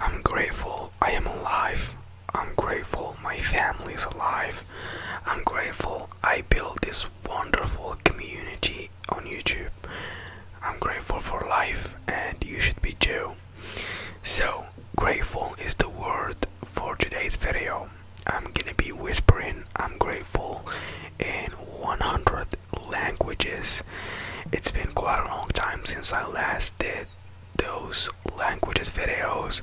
I'm grateful I am alive. I'm grateful my family is alive. I'm grateful I built this wonderful community on YouTube. I'm grateful for life, and you should be too. So, grateful is the word for today's video. I'm gonna be whispering I'm grateful in 100 languages. It's been quite a long time since I last did those languages videos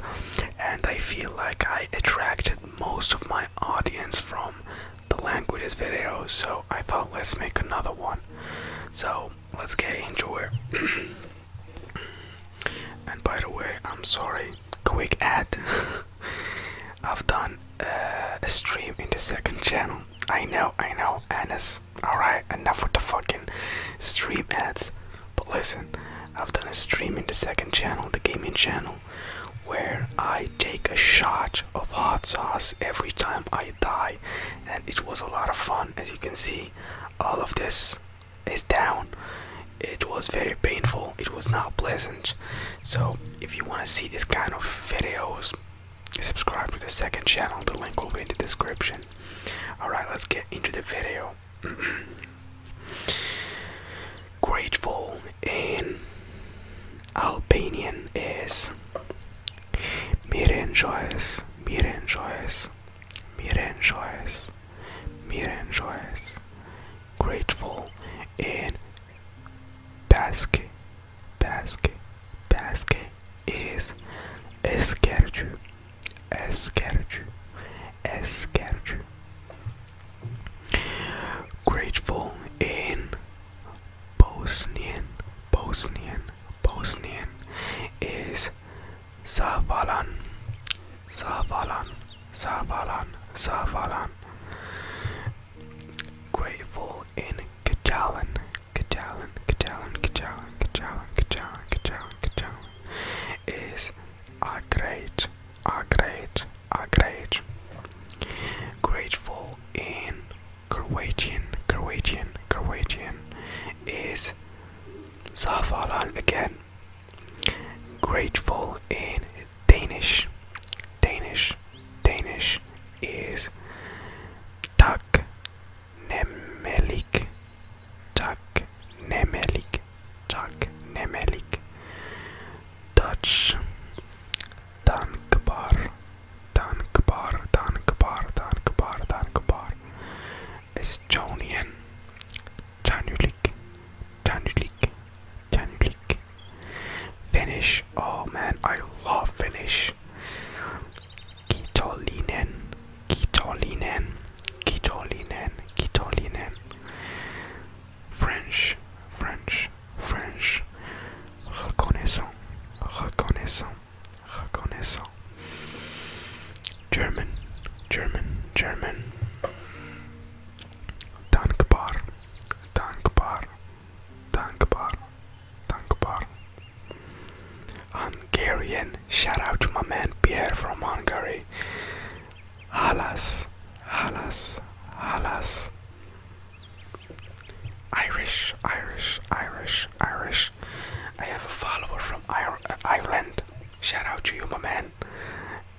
and I feel like I attracted most of my audience from the languages videos so I thought let's make another one so let's get into it and by the way I'm sorry quick ad I've done uh, a stream in the second channel. I know, I know, And it's Alright, enough with the fucking stream ads. But listen, I've done a stream in the second channel, the gaming channel, where I take a shot of hot sauce every time I die, and it was a lot of fun. As you can see, all of this is down. It was very painful, it was not pleasant. So if you want to see this kind of videos, subscribe to the second channel. The link will be in the description. Alright, let's get into the video. Grateful in opinion is Miren joyous, Miren joyous, Miren joyous, Miren joyous. Grateful in Basque basket basket is esquerdo esquerdo esquerdo grateful in Bosnian Bosnian Bosnian is Savalan Savalan Savalan Savalan Grateful in Catalan, Catalan, Catalan, Catalan, Catalan, Catalan, Catalan, Catalan is a great, a great, a great. Grateful in Croatian, Croatian, Croatian is Zafalan again. Grateful in Danish. Danish. Danish is tak nemelik. Tak nemelik. Tak nemelik. Dutch. Dankbar. Dankbar. Dankbar. Dankbar. Dankbar. Estonian. Janulik. Janulik. Can you click? Finnish. Oh man, I love Finnish. Kitolinen, Kitolinen, Kitolinen, Kitolinen. French, French, French. Reconnaissant, reconnaissant, reconnaissant. German, German, German. Dankbar, dankbar. Dankbar. Dankbar. Hungarian. Shout out to my man Pierre from Hungary. Alas. Alas. Alas. Irish, Irish, Irish, Irish. I have a follower from uh, Ireland. Shout out to you, my man.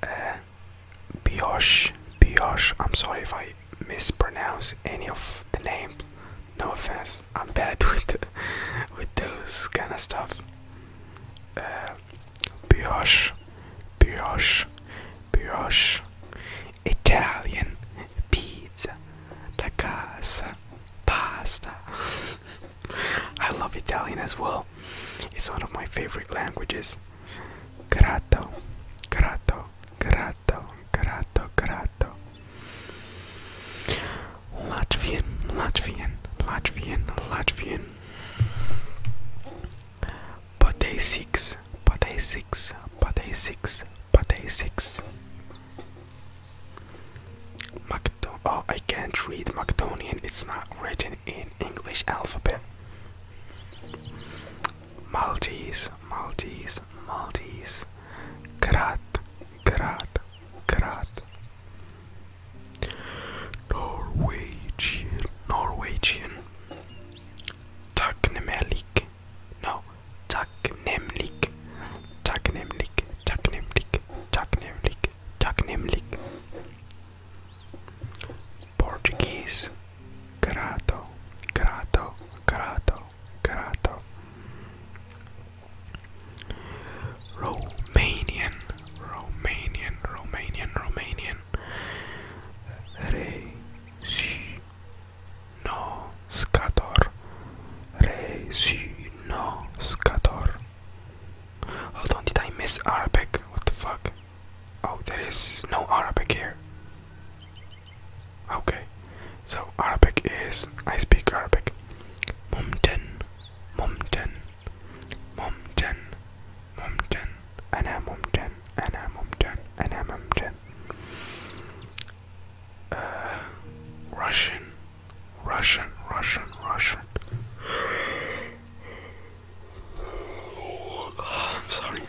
Uh, Biosh, Biosh. I'm sorry if I mispronounce any of the names. No offense, I'm bad with with those kind of stuff. Uh, brioche, brioche, brioche, Italian pizza, la pasta. I love Italian as well. It's one of my favorite languages. Grato, grato, grato, grato, grato. Latvian, Latvian, Latvian, Latvian. Pate six, pate six, pate six, pate six. Macdo oh, I can't read Macedonian. It's not written in English alphabet. Maltese, Maltese, Maltese, Karat, Karat, Karat, Norwegian, Norwegian, Taknemelik, no, Taknemlik, Taknemlik, Taknemlik, Taknemlik, Taknemlik, Portuguese, Grato, Grato, Grato. Karata. Romanian, Romanian, Romanian, Romanian. Rezynoscator, Rezynoscator. Hold on, did I miss Arabic? What the fuck? Oh, there is no Arabic here. Okay, so Arabic is I speak Arabic. Mumten, mumten, mumten, mumten, ana mumten, ana mumten, ana mumten. Uh, Russian, Russian, Russian, Russian. Oh, I'm sorry.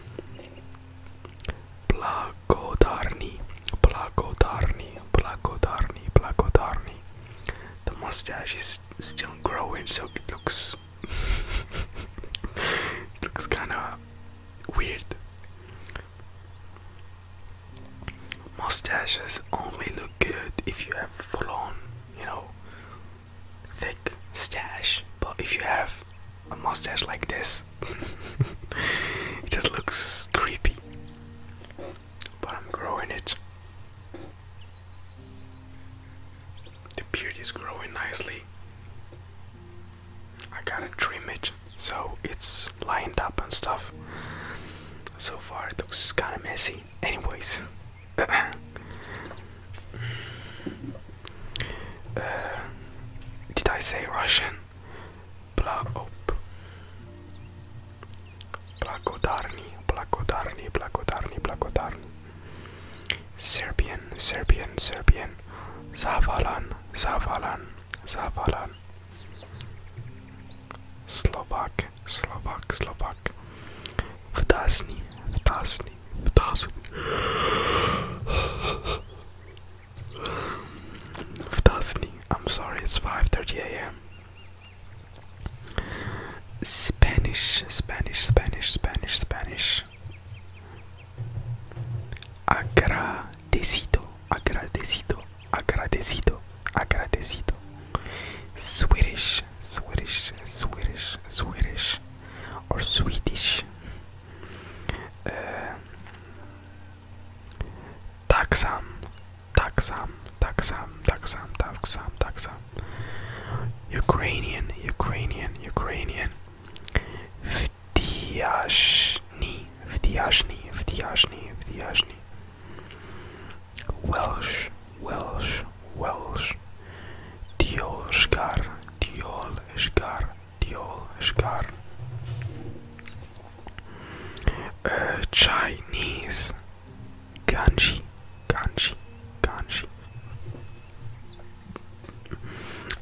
Blagodarni, Blagodarni, Blagodarni, Blagodarni. The mustache is still growing, so it looks looks kind of weird. Mustaches only look good if you have full on, you know, thick stash. But if you have a mustache like this. it just looks creepy. But I'm growing it. The beard is growing nicely. I gotta trim it so it's lined up and stuff. So far, it looks kinda messy. Anyways. Uh, did I say Russian? Blaop. Blagodarni, Blagodarni, Blagodarni, Blagodarni. Serbian, Serbian, Serbian. Zavalan, Zavalan, Zavalan. Slovak, Slovak, Slovak. Vdasni, Vdasni, Vdasni. I'm sorry, it's 5:30 a.m. Spanish, Spanish, Spanish, Spanish, Spanish. Agradecido, agradecido, agradecido, agradecido. Swedish, Swedish, Swedish, Swedish, or Swedish. Uh, taksam taksam taksam taksam taksam taksam Ukrainian, Ukrainian, Ukrainian. Wdiaszny, wdiaszny, wdiaszny, wdiaszny. Welsh, Welsh, Welsh. Diolshgar, Diolshgar, diyor çıkar. Uh, Chinese Ganji Ganji Ganji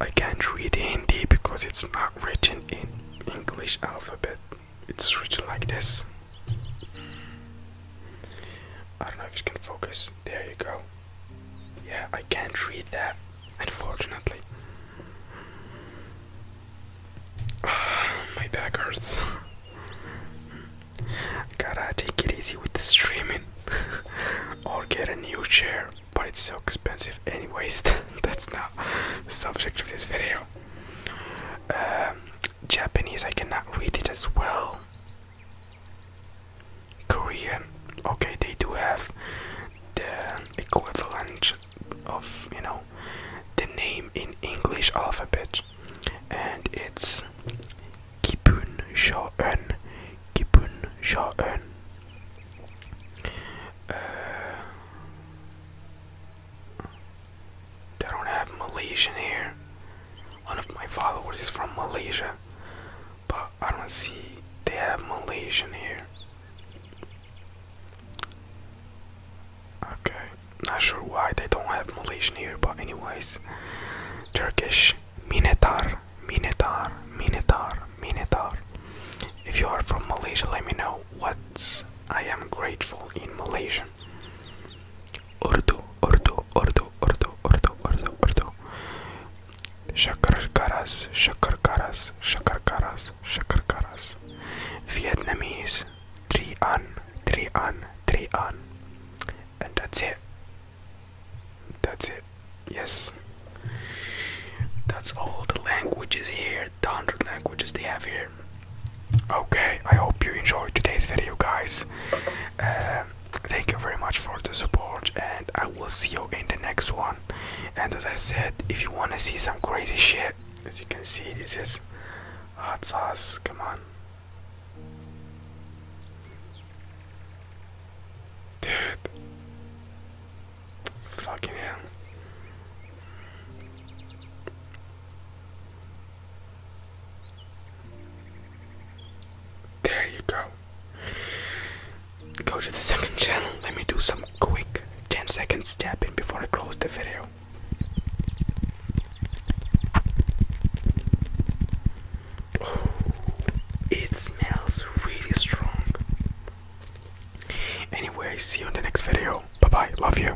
I can't read Hindi because it's not written in English alphabet. It's written like this. I don't know if you can focus. There you go. Yeah, I can't read that, unfortunately. My back hurts. Gotta take it easy with the streaming or get a new chair, but it's so expensive, anyways. That's not the subject of this video. Um, Japanese, I cannot read it as well. Korean, okay, they do have the equivalent of you know the name in English alphabet, and it's Kipun Shaun, Kipun Shaun. they uh, don't have Malaysian here. One of my followers is from Malaysia, but I don't see they have Malaysian here. Okay, not sure why they don't have Malaysian here, but anyways, Turkish minetar, minetar, minetar, minetar. If you are from Malaysia, let me know what I am grateful in Malaysian. Urdu, Urdu, Urdu, Urdu, Urdu, Urdu, Urdu. Shakar karas, shakar karas, shakar karas, shakarkaras, Vietnamese, three an, three an, three an. And that's it. That's it. Yes. That's all the languages here, the hundred languages they have here. Okay, I hope you enjoyed today's video, guys. Um, thank you very much for the support, and I will see you in the next one. And as I said, if you want to see some crazy shit, as you can see this is hot sauce come on dude fucking hell there you go go to the second channel let me do some quick 10 seconds tap in before I close the video. it smells really strong. Anyway, see you in the next video. Bye bye, love you.